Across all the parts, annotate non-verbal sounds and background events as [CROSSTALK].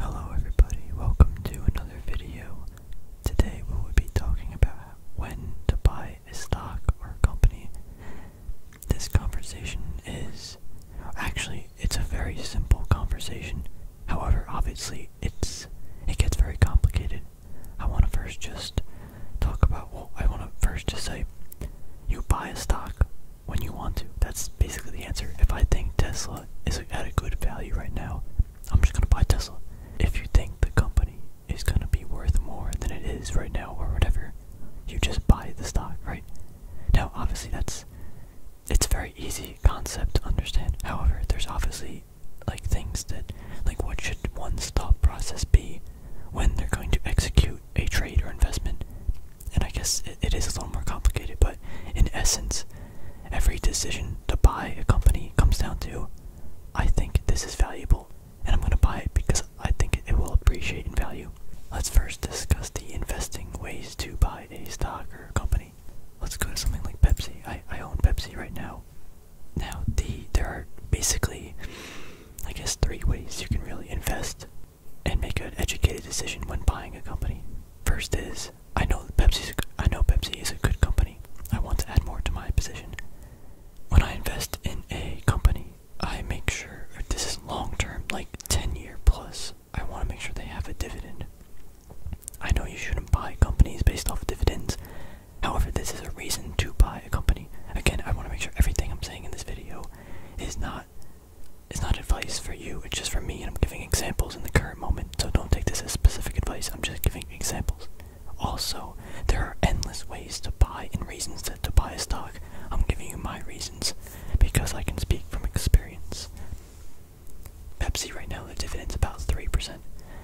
Hello everybody, welcome to another video. Today we will be talking about when to buy a stock or a company. This conversation is actually it's a very simple conversation. However, obviously it's it gets very complicated. I want to first just talk about well, I want to first just say you buy a stock when you want to. That's basically the answer. If I think Tesla is at a good value right now, I'm just gonna buy Tesla. If you think the company is gonna be worth more than it is right now or whatever, you just buy the stock, right? Now obviously that's it's a very easy concept to understand. However, there's obviously like things that like what should one's thought process be when they're going to execute a trade or investment and I guess it is a little more complicated, but in essence, every decision to buy a company comes down to I think this is valuable, and I'm going to buy it because I think it will appreciate in value. Let's first discuss the investing ways to buy a stock or company. Let's go to something like Pepsi. I, I own Pepsi right now. Now, the there are basically, I guess, three ways you can really invest and make an educated decision when buying a company. First is I know Pepsi. is a good company. I want to add more to my position. When I invest in a company, I make sure this is long term, like ten year plus. I want to make sure they have a dividend. I know you shouldn't buy companies based off dividends. However, this is a reason to buy a company. Again, I want to make sure everything I'm saying in this video is not it's not advice for you, it's just for me and I'm giving examples in the current moment. So don't take this as specific advice. I'm just giving examples. Also, there are endless ways to buy and reasons to buy a stock. I'm giving you my reasons because I can speak from experience. Pepsi right now the dividend's about 3%.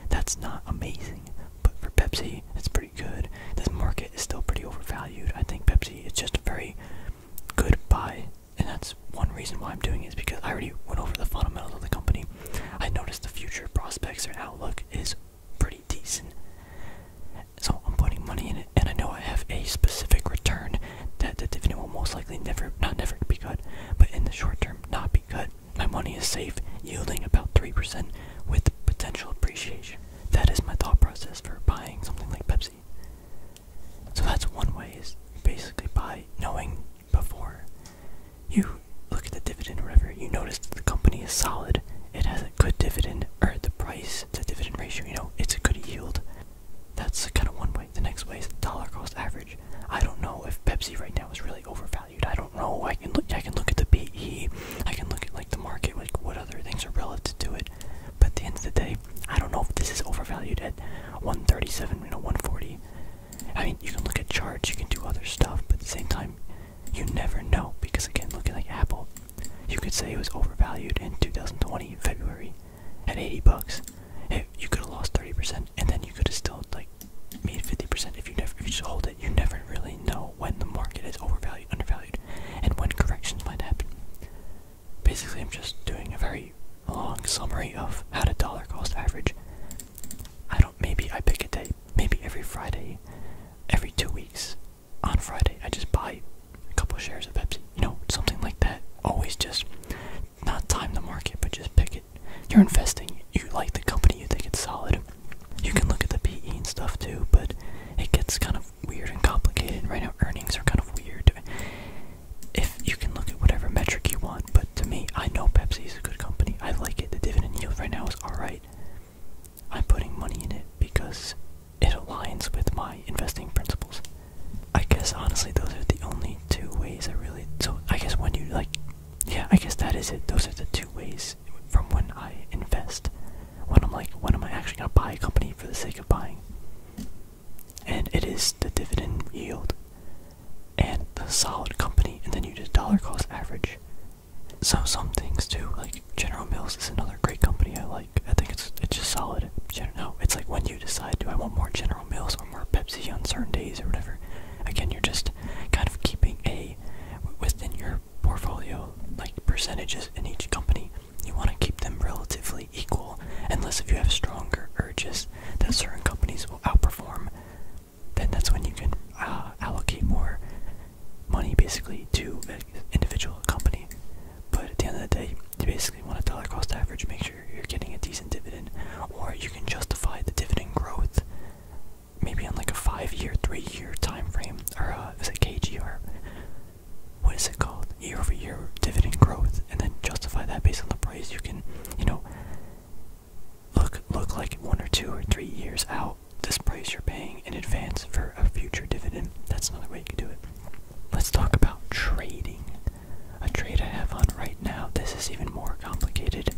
That's not amazing, but for Pepsi it's pretty good. This market is still pretty overvalued. I think Pepsi is just a very good buy and that's one reason why I'm doing it is because I already went over the fundamentals of the company. I noticed the future prospects or outlook is pretty decent. So I'm putting money in it and I know I have a specific return that the dividend will most likely never not never be cut, but in the short term not be cut. My money is safe, yielding about 3% with potential appreciation. That is my thought process for buying something like Pepsi. So that's one way is basically by knowing before you look at the dividend or you notice that the company is solid, it has a good dividend, or the price to dividend ratio, you know, it's a good yield. That's kind of one way. The next way is dollar cost average. I don't know if Pepsi right now is really overvalued. I don't know. I can look. I can look at the PE. I can look at like the market, like what other things are relative to it. But at the end of the day, I don't know if this is overvalued at 137, you know, 140. I mean, you can look at charts, you can do other stuff, but at the same time, you never know because again, looking like Apple, you could say it was overvalued in 2020 February at 80 bucks. you could have lost 30%, and then you could have still like made 50% if you never if you just hold it. You never really know when the market is overvalued, undervalued, and when corrections might happen. Basically, I'm just doing a very long summary of how to dollar cost average. I don't, maybe I pick a day, maybe every Friday, every two weeks. On Friday, I just buy a couple shares of Pepsi, you know, something like that. Always just not time the market, but just pick it. You're investing, you like the company, you think it's solid. You can look at the PE and stuff too, but it gets kind of weird and complicated. Right now, earnings are kind of weird. If you can look at whatever metric you want, but to me, I know Pepsi is a good company. I like it. The dividend yield right now is alright. I'm putting money in it because it aligns with my investing principles. I guess honestly, those are the only two ways I really. So I guess when you like, yeah, I guess that is it. Those are the two ways from when I invest. When I'm like, when am I actually gonna buy a company for the sake of buying? and it is the dividend yield and the solid company, and then you did dollar cost average. So some things too, like General Mills is another great company I like. I think it's it's just solid. Gen no, it's like when you decide, do I want more General Mills or more Pepsi on certain days or whatever. Again, you're just kind of keeping a within your portfolio like percentages in each company you want to keep them relatively equal, unless if you have stronger urges that certain companies will outperform, then that's when you can uh, allocate more money basically to individual company. But at the end of the day, you basically want to dollar cost average, make sure you're getting a decent dividend, or you can justify the dividend growth maybe on like a five year, three year time frame, or uh, is it KGR? what is it called year over year dividend growth and then justify that based on the price you can you know look look like one or two or three years out this price you're paying in advance for a future dividend that's another way you can do it let's talk about trading a trade i have on right now this is even more complicated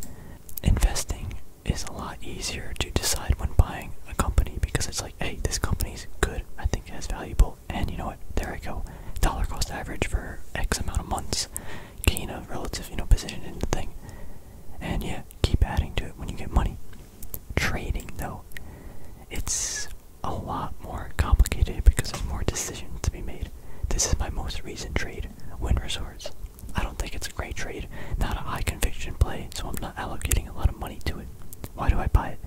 investing is a lot easier to decide when buying a company because it's like hey this company's good i think it's valuable and you know what? There I go. Dollar cost average for X amount of months. Gain a relative, you know, position in the thing. And yeah, keep adding to it when you get money. Trading though, it's a lot more complicated because there's more decisions to be made. This is my most recent trade, Win Resorts. I don't think it's a great trade, not a high conviction play, so I'm not allocating a lot of money to it. Why do I buy it?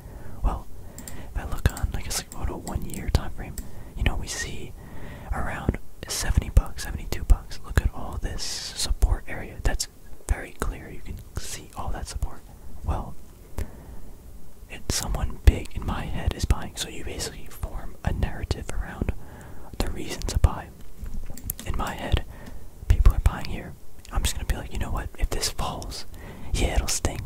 Well, if I look on, I guess, like what a one-year time frame, you know, we see around 70 bucks, 72 bucks. Look at all this support area. That's very clear. You can see all that support. Well, it's someone big in my head is buying. So you basically form a narrative around the reason to buy. In my head, people are buying here. I'm just gonna be like, you know what? If this falls, yeah, it'll stink.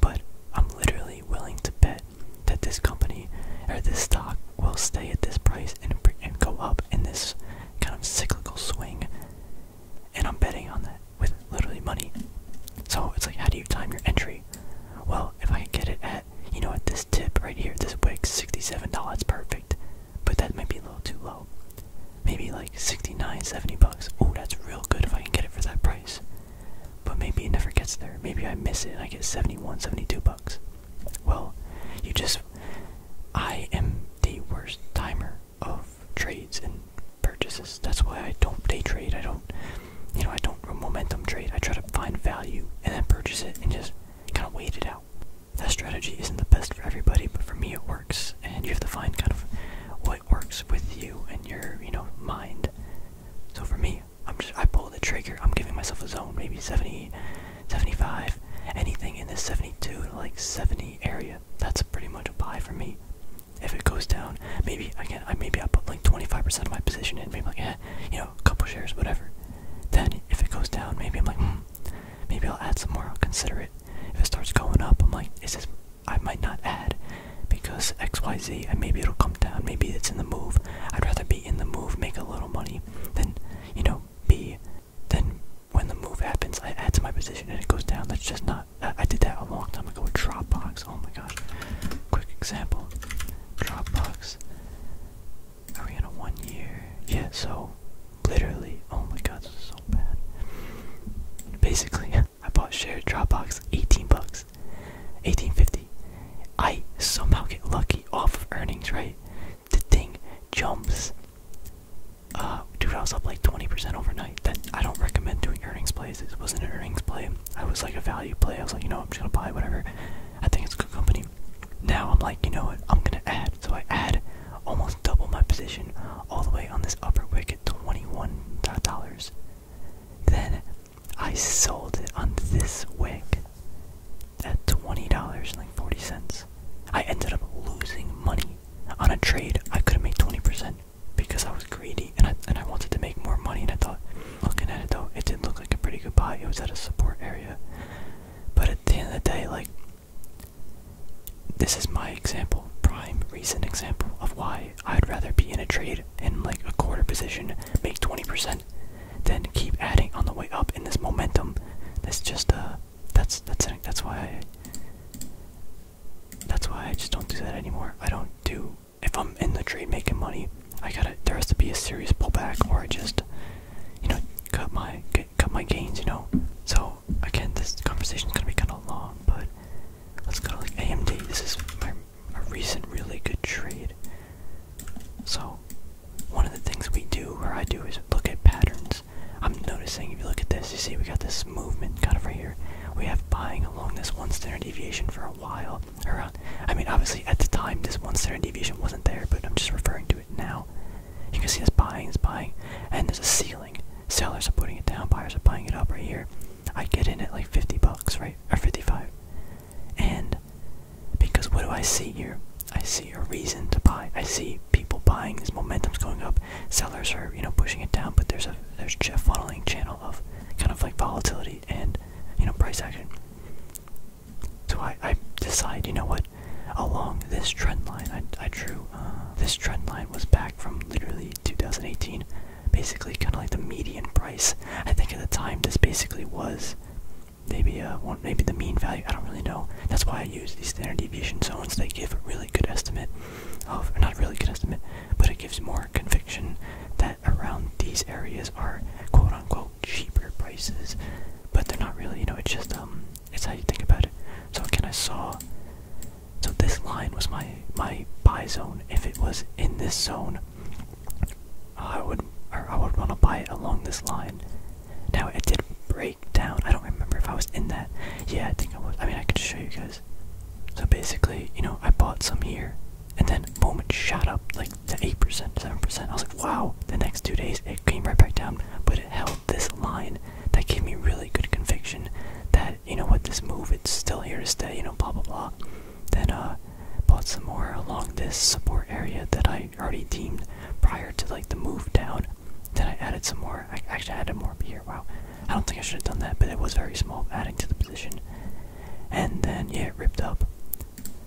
But I'm literally willing to bet that this company or this stock will stay at this price and, and go up in this kind of cyclical swing. And I'm betting on that with literally money. So it's like, how do you time your entry? Well, if I get it at, you know, at this tip right here, this wick, $67, perfect. But that might be a little too low maybe like 69, 70 bucks. Oh, that's real good if I can get it for that price. But maybe it never gets there. Maybe I miss it and I get 71, 72 bucks. Well, you just. I am the worst timer of trades and purchases. That's why I don't day trade. I don't. You know, I don't momentum trade. I try to find value and then purchase it and just kind of wait it out. That strategy isn't the best for everybody, but for me it works. And you have to find kind of what works with you and your, you know, mind. So for me, I'm just I pull the trigger. I'm giving myself a zone, maybe 70, 75, anything in this 72 to like 70 area. That's pretty much a buy for me. If it goes down, maybe again, I maybe I put like 25% of my position in, maybe like eh, you know, a couple shares, whatever. Then if it goes down, maybe I'm like, hmm, maybe I'll add some more. I'll consider it. If it starts going up, I'm like, is this? I might not add because X Y Z, and maybe it'll come down. Maybe it's in the move. I'd rather be in the move, make a little money, than you know be. Then when the move happens, I add to my position and it goes down. That's just not. I, did that a long time ago with Dropbox. Oh my gosh. Quick example. Dropbox. Are we in a one year? Yeah. So literally. Oh my god, this is so bad. Basically, [LAUGHS] I bought share Dropbox, 18 bucks, 18.50. I somehow get lucky off of earnings, right? The thing jumps. Uh, dude, I was up like 20% overnight. That I don't recommend doing earnings plays. This wasn't an earnings play. I was like a value play. I was like, you know, I'm just gonna buy whatever. I think it's a good company. Now I'm like, you know what? I'm gonna add. So I add almost double my position all the way on this upper at $21. Then I sold it on this wick at $20, like 40 cents. I ended up losing money on a trade I could have made 20% because I was greedy and I, and I wanted to make more money and I thought, looking at it though, it did look like a pretty good buy. It was at a support area. But at the end of the day, like, this is my example, prime recent example of why I'd rather be in a trade in like a quarter position, make 20%, then keep adding on the way up in this momentum. That's just uh that's that's that's why I that's why I just don't do that anymore. I don't do if I'm in the trade making money, I gotta there has to be a serious pullback or I just you know cut my cut my gains, you know. So again, this conversation is gonna be kind of long, but let's go to like AMD. This is my, a recent really good trade. So one of the things we do, or I do, is look at patterns. I'm noticing if you look at this, you see we got this movement kind of right here. We have buying along this one standard deviation for a while. Around, I mean, obviously at the time this one standard deviation wasn't there, but I'm just referring to it now. You can see this buying is buying, and there's a ceiling. Sellers are putting it down, buyers are buying it up right here. I get in at like 50 bucks, right? Or 55. And because what do I see here? I see a reason to buy. I see people buying, this momentum's going up, sellers are, you know, pushing it down, but there's a there's a funneling channel of kind of like volatility and you know price action. So I, I decide, you know what, along this trend line I I drew uh, this trend line was back from literally 2018, basically kind of like the median price. I think at the time this basically was maybe uh, maybe the mean value. I don't really know. That's why I use these standard deviation zones. They give a really good estimate of, or not really good estimate, but it gives more conviction that around these areas are quote unquote cheaper prices, but they're not really. You know, it's just um, it's how you think about it. So, can I saw so this line was my my buy zone. If it was in this zone, I would I would want to buy it along this line. Now it did break down. I don't remember if I was in that. Yeah, I think I was. I mean, I can show you guys. So basically, you know, I bought some here, and then boom, it shot up like the eight percent, seven percent. I was like, wow. The next two days, it came right back down, but it held this line that gave me really good conviction that you know what this move it's still here to stay you know blah blah blah then uh bought some more along this support area that i already deemed prior to like the move down then i added some more i actually added more here wow i don't think i should have done that but it was very small adding to the position and then yeah it ripped up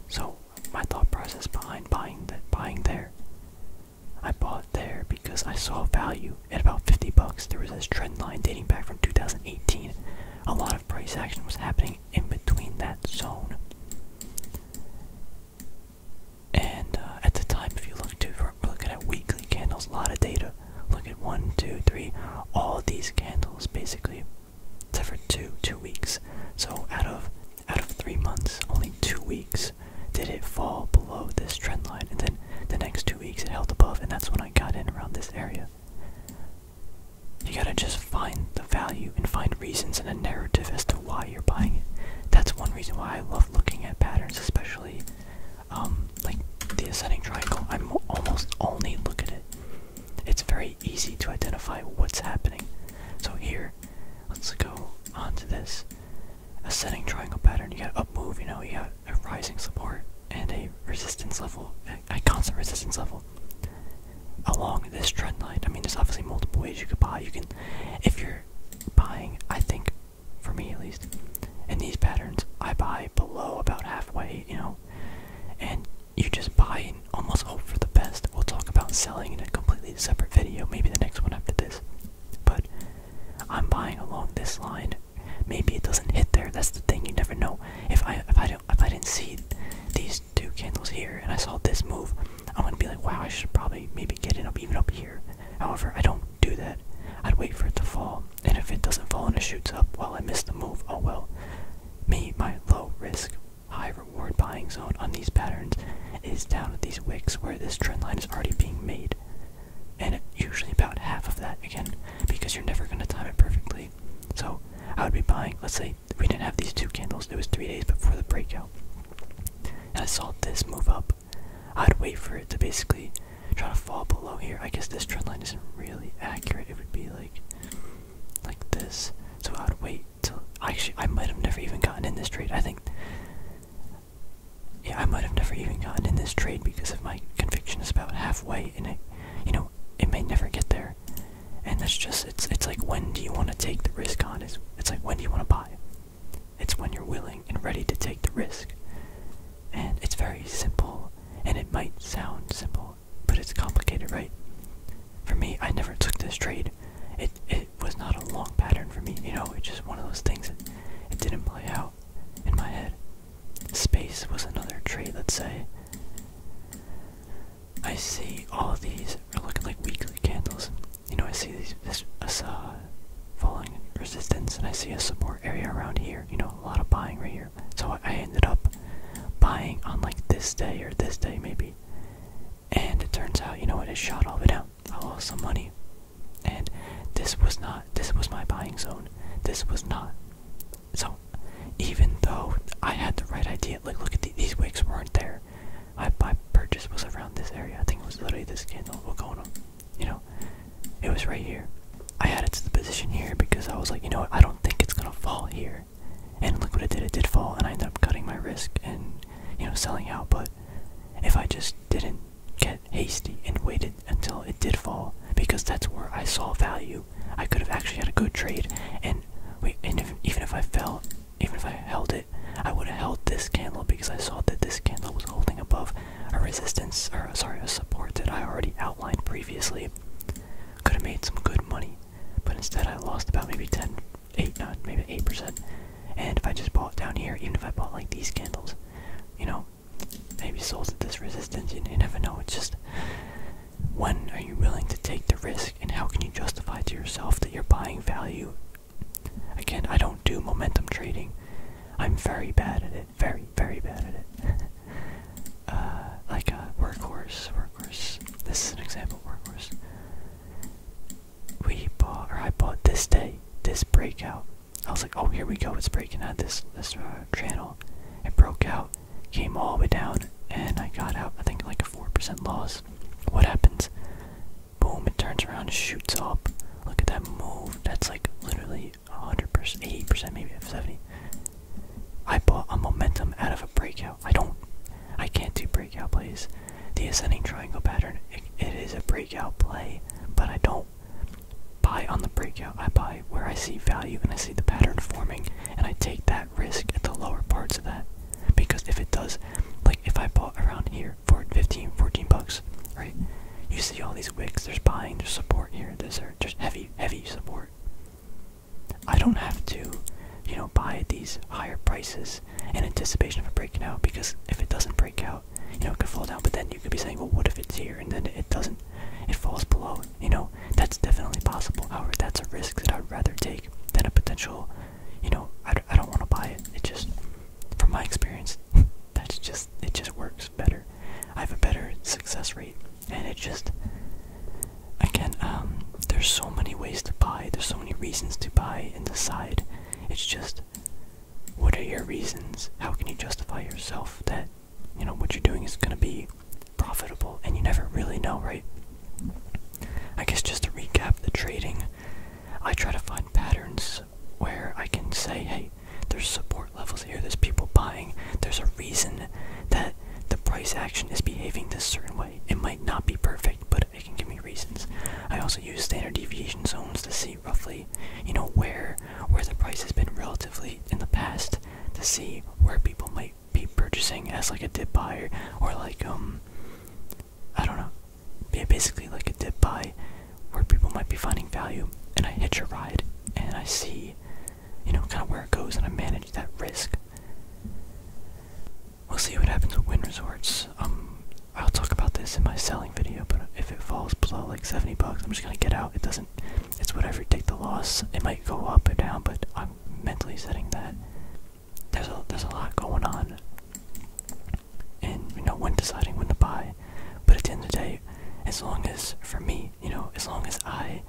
so my thought process behind buying that buying there I bought there because I saw value at about 50 bucks. There was this trend line dating back from 2018. A lot of price action was happening in between that zone. And uh, at the time, if you look to we're looking at weekly candles, a lot of data. Look at one, two, three, all these candles basically, except for two, two weeks. So out of out of three months, only two weeks did it fall below this trend line, and then the next two weeks it held above, and that's when I got in around this area. You gotta just find the value and find reasons and a narrative as to why you're buying it. That's one reason why I love looking at patterns, especially um, like the ascending triangle. I almost only look at it. It's very easy to identify what's happening. So here, let's go on to this ascending triangle pattern. You got up move, you know, you got a rising support and a resistance level, a, a constant resistance level along this trend line. I mean, there's obviously multiple ways you could buy. You can, if you're buying, I think, for me at least, in these patterns, I buy below about halfway, you know, and you just buy and almost hope for the best. We'll talk about selling in a completely separate video, maybe the next one after this. But I'm buying along this line. Maybe it doesn't hit there. That's the thing. You never know. If I if I don't if I didn't see these two candles here and I saw this move, I would be like, wow, I should probably maybe get it up even up here. However, I don't do that. I'd wait for it to fall, and if it doesn't fall and it shoots up, well, I miss the move. Oh well. Me, my low risk, high reward buying zone on these patterns is down at these wicks where this trend line is already being made and usually about half of that again because you're never going to time it perfectly. So I would be buying, let's say we didn't have these two candles, it was three days before the breakout, and I saw this move up. I'd wait for it to basically try to fall below here. I guess this trend line isn't really accurate. It would be like like this. So I'd wait till actually I might have never even gotten in this trade. I think yeah, I might have never even gotten in this trade because if my conviction is about halfway and it, you know, it may never get there. And that's just, it's it's like when do you want to take the risk on? It's, it's like when do you want to buy? It's when you're willing and ready to take the risk. And it's very simple, and it might sound simple, but it's complicated, right? For me, I never took this trade. It, it it was not a long pattern for me. You know, it's just one of those things that it didn't play out in my head. Space was another trade, let's say. I see all of these are looking like weekly candles. You know, I see these, this uh, falling resistance, and I see a support area around here. You know, a lot of buying right here. So I ended up buying on like this day or this day maybe. And it turns out, you know what, it shot all the way down. I oh, lost some money. And this was not this was my buying zone. This was not. So even though I had the right idea, like look at these wicks weren't there. my purchase was around this area. I think it was literally this candle. We'll on. You know, it was right here. I had it to the position here because I was like, you know what, I don't think it's gonna fall here. And look what it did, it did fall and I ended up cutting my risk and, you know, selling out, but if I just didn't get hasty and waited until it did fall because that's where I saw value. I could have actually had a good trade, and even if I fell, even if I held it, I would have held this candle because I saw that this candle was holding above a resistance, or sorry, a support that I already outlined previously. Could have made some good money, but instead I lost about maybe 10, eight, not maybe eight percent. And if I just bought down here, even if I bought like these candles, you know, maybe sold at this resistance. And if I know. It's just when are you willing to take the risk, and how can you justify to yourself that you're buying value? Again, I don't do momentum trading. I'm very bad at it. Very, very bad at it. [LAUGHS] Uh, like a uh, workhorse, workhorse. This is an example, workhorse we bought or I bought this day this breakout. I was like, oh here we go, it's breaking out this this uh, channel. It broke out, came all the way down, and I got out. I think like a four percent loss. What happens? Boom! It turns around, shoots up. Look at that move. That's like literally hundred percent, eighty percent, maybe seventy. I bought a momentum out of a breakout. I don't. I can't do breakout please the ascending triangle pattern. it is a breakout play, but I don't buy on the breakout. I buy where I see value and I see the pattern forming, and I take that risk at the lower parts of that. Because if it does, like if I bought around here for 15, 14 bucks, right? You see all these wicks, there's buying, there's support here, there's just uh, heavy, heavy support. I don't have to, you know, buy these higher prices in anticipation of a breaking out because if it doesn't break out, you know, it could fall down, but then you could be saying, well, what if it's here and then it doesn't, it falls below, you know, that's definitely possible. However, that's a risk that I'd rather take than a potential, you know, I, I don't want to buy it. It just, from my experience, [LAUGHS] that's just, it just works better. I have a better success rate and it just, again, um, there's so many ways to buy, there's so many reasons to buy and decide. It's just, what are your reasons? How can you justify yourself that, you know, what you're doing is going to be profitable? And you never really know, right? I guess just to recap the trading, I try to find patterns where I can say, hey, there's support levels here, there's people buying, there's a reason that the price action is behaving this certain way. It might not be perfect, but they can give me reasons. I also use standard deviation zones to see roughly, you know, where where the price has been relatively in the past to see where people might be purchasing as like a dip buyer or like um I don't know. basically like a dip buy where people might be finding value and I hitch a ride and I see you know kind of where it goes and I manage that risk. We'll see what happens with Wind Resorts. Um, I'll talk about this in my selling video, but if it falls below like 70 bucks, I'm just gonna get out. It doesn't, it's whatever, take the loss. It might go up or down, but I'm mentally setting that. There's a, there's a lot going on. And, you know, when deciding when to buy. But at the end of the day, as long as, for me, you know, as long as I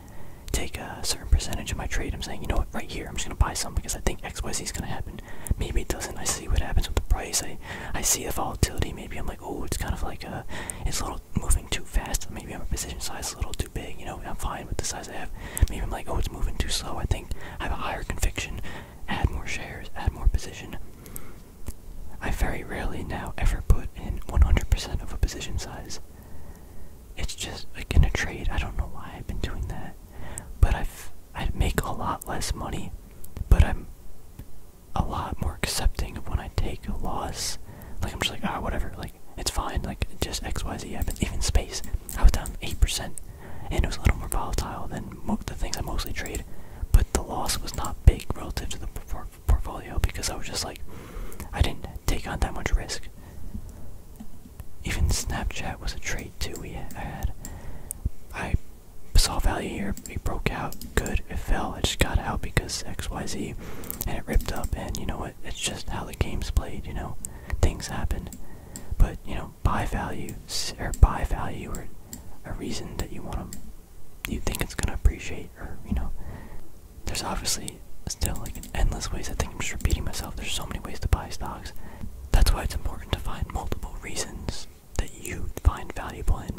take a certain percentage of my trade, I'm saying, you know what, right here, I'm just gonna buy some because I think XYZ is gonna happen. Maybe it doesn't. I see what happens with the price. I I see the volatility. Maybe I'm like, oh, it's kind of like a, it's a little moving too fast. Maybe I'm a position size a little too big. You know, I'm fine with the size I have. Maybe I'm like, oh, it's moving too slow. I think I have a higher conviction. Add more shares. Add more position. I very rarely now ever put in 100% of a position size. It's just like in a trade. I don't know why I've been doing that, but I've I'd make a lot less money, but I'm a lot more accepting of when I take a loss. Like I'm just like, ah, whatever, like it's fine, like just XYZ happens. Even space, I was down 8%, and it was a little more volatile than the things I mostly trade, but the loss was not big relative to the portfolio because I was just like, I didn't take on that much risk even Snapchat was a trade too. We had I saw value here. It broke out. Good. It fell. It just got out because X Y Z, and it ripped up. And you know what? It's just how the game's played. You know, things happen. But you know, buy value or buy value or a reason that you want to. You think it's gonna appreciate, or you know, there's obviously still like endless ways. I think I'm just repeating myself. There's so many ways to buy stocks. That's why it's important to find multiple reasons that you find valuable in,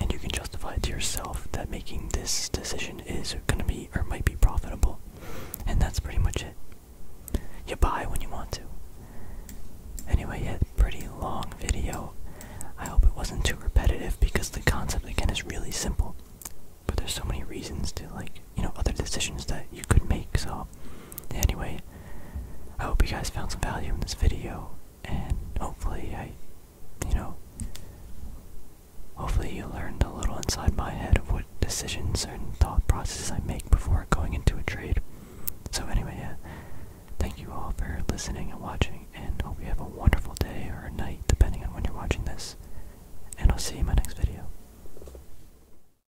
and you can justify to yourself that making this decision is going to be or might be profitable. And that's pretty much it. You buy when you want to. Anyway, yeah, pretty long video. I hope it wasn't too repetitive because the concept again is really simple. But there's so many reasons to like you know, other decisions that you could make. So, anyway, I hope you guys found some value in this video, and hopefully, I, you know, hopefully you learned a little inside my head of what decisions and thought processes I make before going into a trade. So, anyway, yeah, thank you all for listening and watching, and hope you have a wonderful day or night, depending on when you're watching this. And I'll see you in my next video.